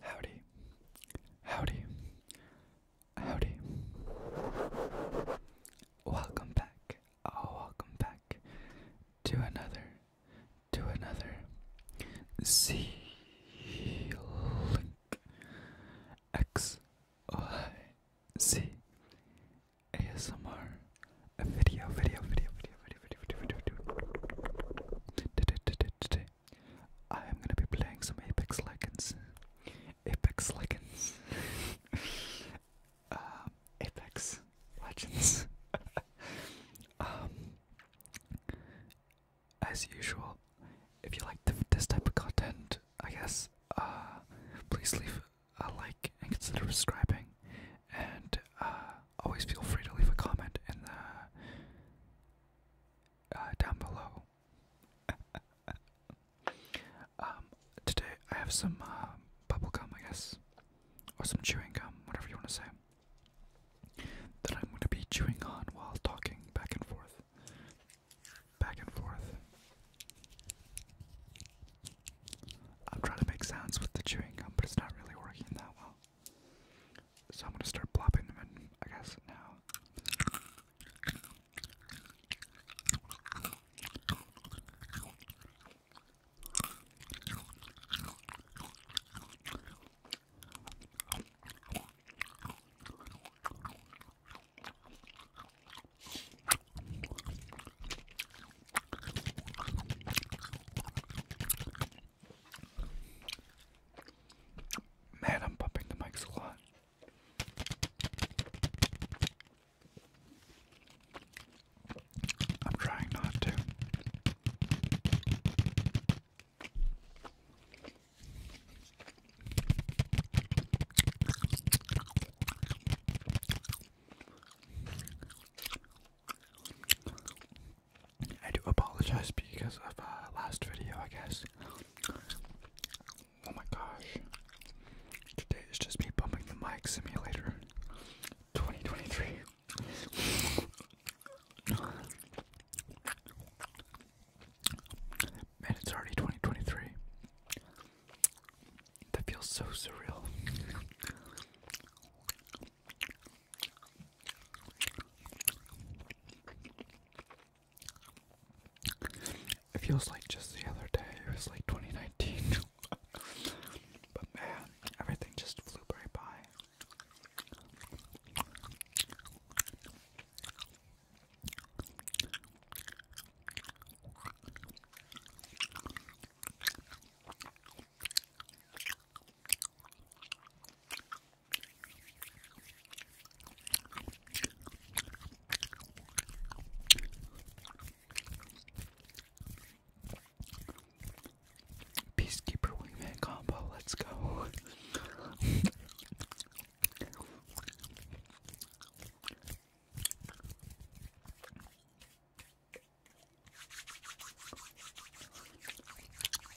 Howdy, howdy, howdy. Welcome back, oh, welcome back to another, to another Z Link video, video, video, video, video, video, video, video, video today I am gonna be playing some Apex Legends. Apex Legends. Um, Apex Legends. Um, as usual, if you like this type of content, I guess, uh, please leave a like and consider subscribing. And uh, always feel free to leave a comment in the uh, down below. Um, today I have some uh, bubble gum, I guess, or some chewing gum, whatever you want to say. That I'm going to be chewing on while talking back and forth, back and forth. I'm trying to make sounds with the chewing gum, but it's not really working that well. So I'm gonna start plopping them in, I guess, now. Man, I'm bumping the mics a lot. I'm trying not to. I do apologize because of uh, last video, I guess. Oh my gosh. Today is just me bumping the mic simulator 2023. Man, it's already 2023. That feels so surreal. It feels like just the other day, it was like 2019. but man, everything just flew right by. Peacekeeper wingman combo, let's go.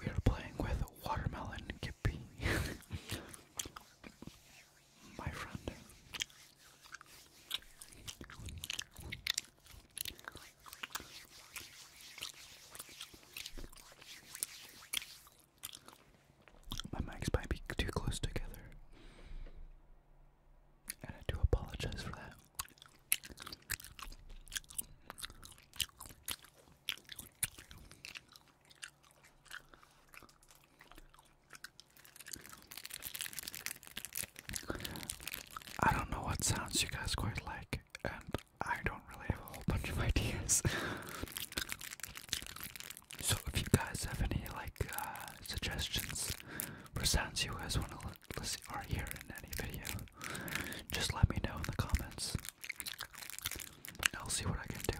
We are playing with watermelon kippy. My friend. My mics might be too close together. And I do apologize for that. I don't know what sounds you guys quite like, and I don't really have a whole bunch of ideas. so if you guys have any like uh, suggestions for sounds you guys want to listen or hear in any video, just let me know in the comments. I'll see what I can do.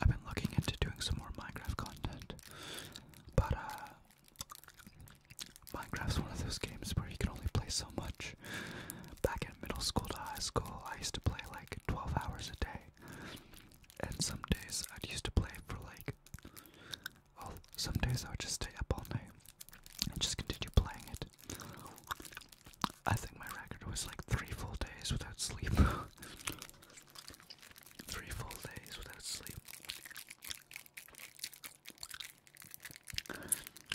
I've been looking into doing some more Minecraft content, but uh, Minecraft's one of those games where you can only play so much. Back in middle school to high school, I used to play like 12 hours a day, and some days i used to play for like i some days I'll just stay up all night and just continue playing it. I think my record was like three full days without sleep. three full days without sleep.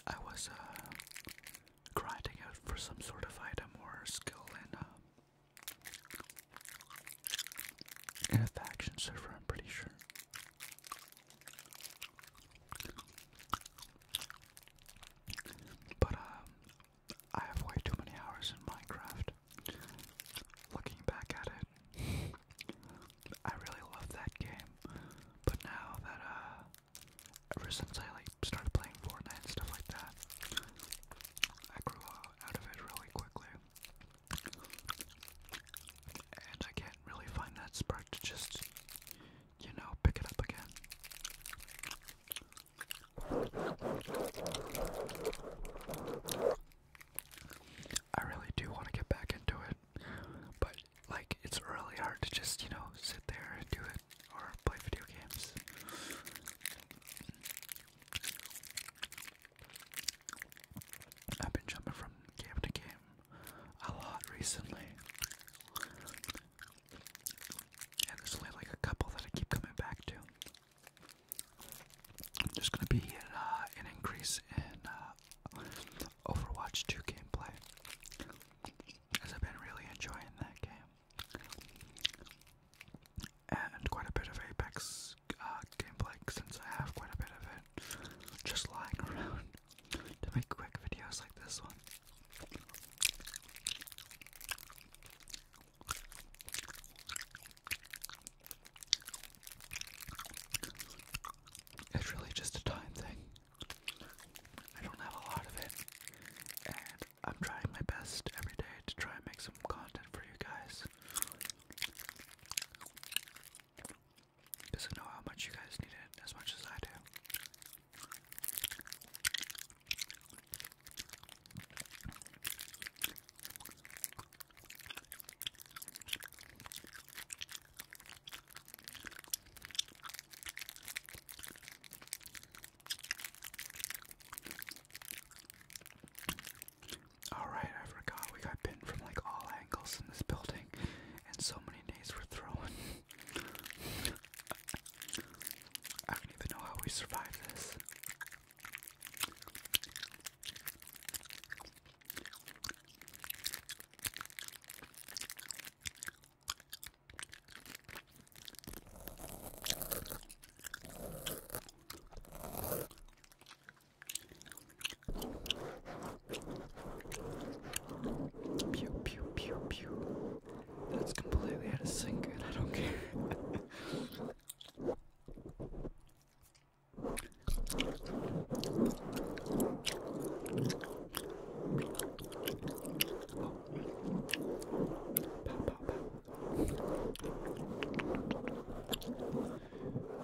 I was uh, grinding out for some sort of item or skill in uh, in a faction server, I'm pretty sure. But um, I have way too many hours in Minecraft. Looking back at it, I really love that game. But now that uh, ever since I like started playing Fortnite and stuff like that, I grew out of it really quickly. And I can't really find that spark to just, you know, pick it up again. I really do want to get back into it, but like it's really hard to just, you know, sit there and do it or play video games. I've been jumping from game to game a lot recently. And there's only like a couple that I keep coming back to. There's gonna be uh, an, increase in uh, Overwatch 2 gameplay. As I've been really enjoying that game and quite a bit of Apex uh, gameplay since I have quite a bit of it just lying around to make quick videos like this one. It's really just a time thing. I don't have a lot of it, and I'm trying my best every day to try and make some content for you guys. Doesn't know how much you guys need it as much as I do. Alright, I forgot we got pinned from like all angles in this building, and so many nades were thrown. I don't even know how we survived this. Pew pew pew pew. That's completely out of sync, and I don't care.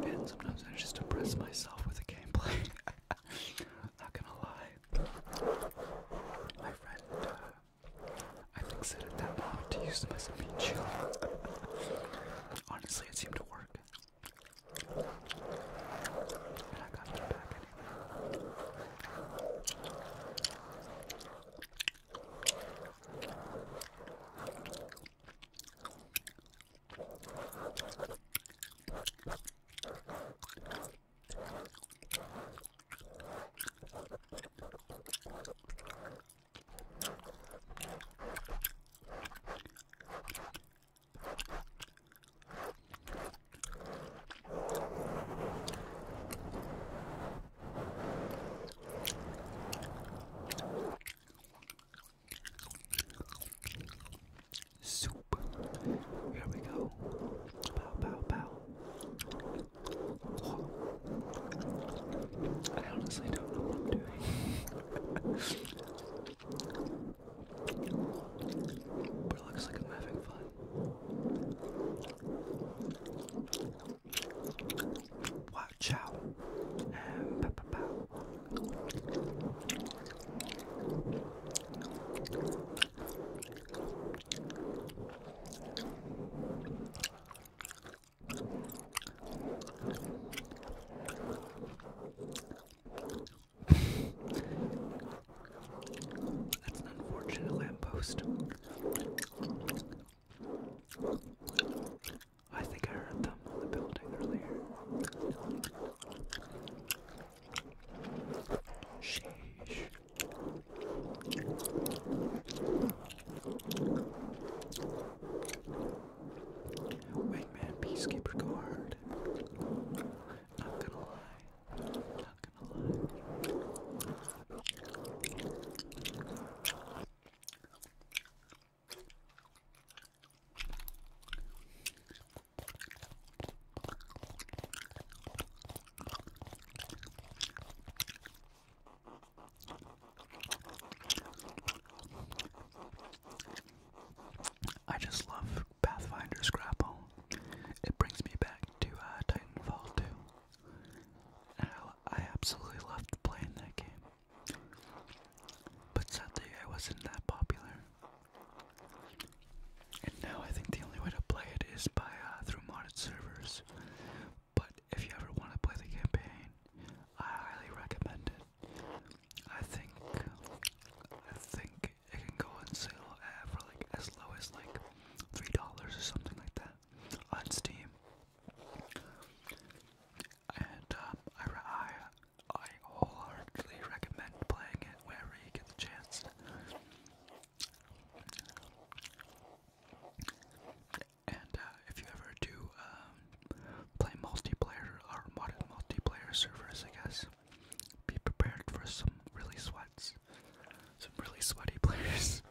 Man, sometimes I just oppress myself with a gameplay. Not gonna lie. My friend, uh, I think said at that moment to use them as a meat shield. Honestly, it seemed to work. And I got it back anyway. Soup. Here we go. Bow, bow, bow. Whoa. Oh. I honestly don't know what I'm doing. but it looks like I'm having fun. Wow, ciao. And pow, pow, pow. That's an unfortunate lamppost. I think I heard them on the building earlier. Sheesh. Wingman Peacekeeper Guard. Not gonna lie. Not gonna lie. I just love Pathfinder Scrapple. It brings me back to uh, Titanfall 2. And I, I absolutely loved playing that game. But sadly, I wasn't that popular. And now I think the only way to play it is by uh, through modded servers. But if you ever want to play the campaign, I highly recommend it. I think I think it can go on sale at for like as low as like three dollars or something like that on Steam. And um, I, I I wholeheartedly recommend playing it whenever you get the chance. And uh, if you ever do um, play multiplayer or modded multiplayer servers, I guess, be prepared for some really sweats, some really sweaty players.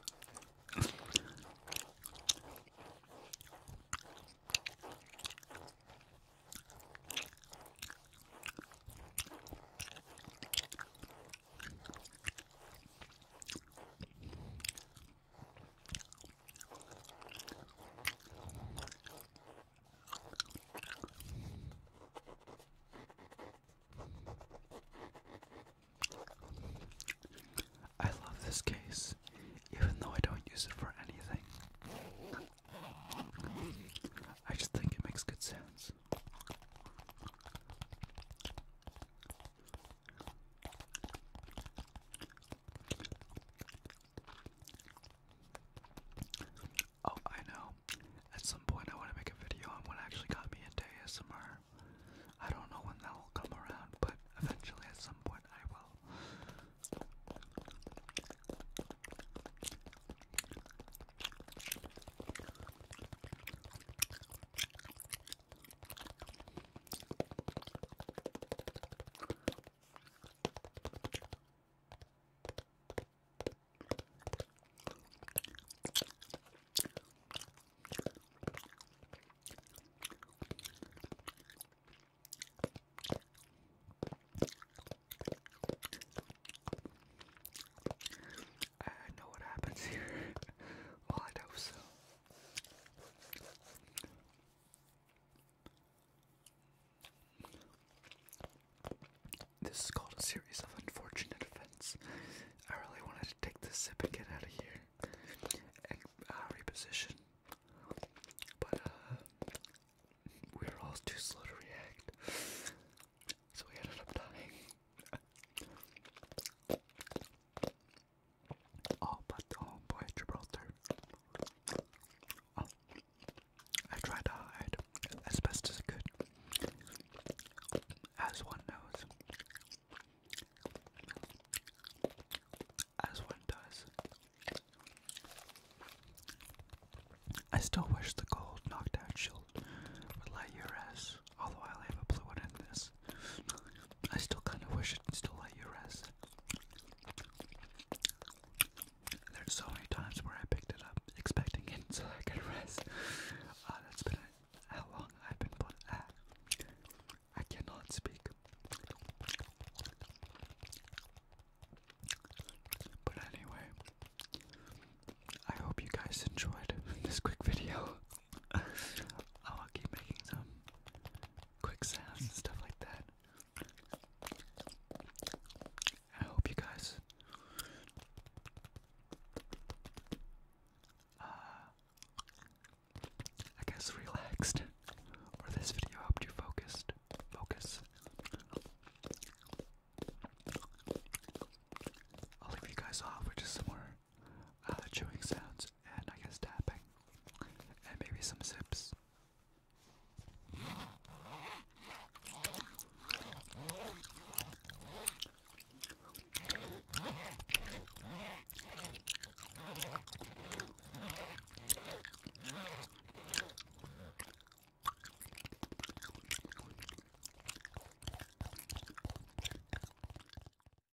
I love this case, even though I don't use it for anything. I just think it makes good sense. Oh, I know. At some point, I want to make a video on what actually got me into ASMR. I don't know when that will come around, but eventually, at some point, I will. I know what happens here. well, I hope so. This is called a series of unfortunate events. I really wanted to take this sip and get out of here and uh, reposition, but we uh, were all too slow to react, so we ended up dying. Oh, but the homeboy Gibraltar. I tried to hide as best as could, as one knows, as one does. I still wish the gold knocked out shield would light your ass, although I will have a blue one in this. I still kind of wish it could still let you rest. There's so many times where I picked it up expecting it so I could rest. Uh, that's been how long I've been put I cannot speak. But anyway, I hope you guys enjoyed this quick video. Oh, I'll keep making some quick sounds and stuff like that. I hope you guys uh I guess relaxed or this video helped you focused focus. I'll leave you guys off with just some more uh, chewing sounds and I guess tapping and maybe some sips.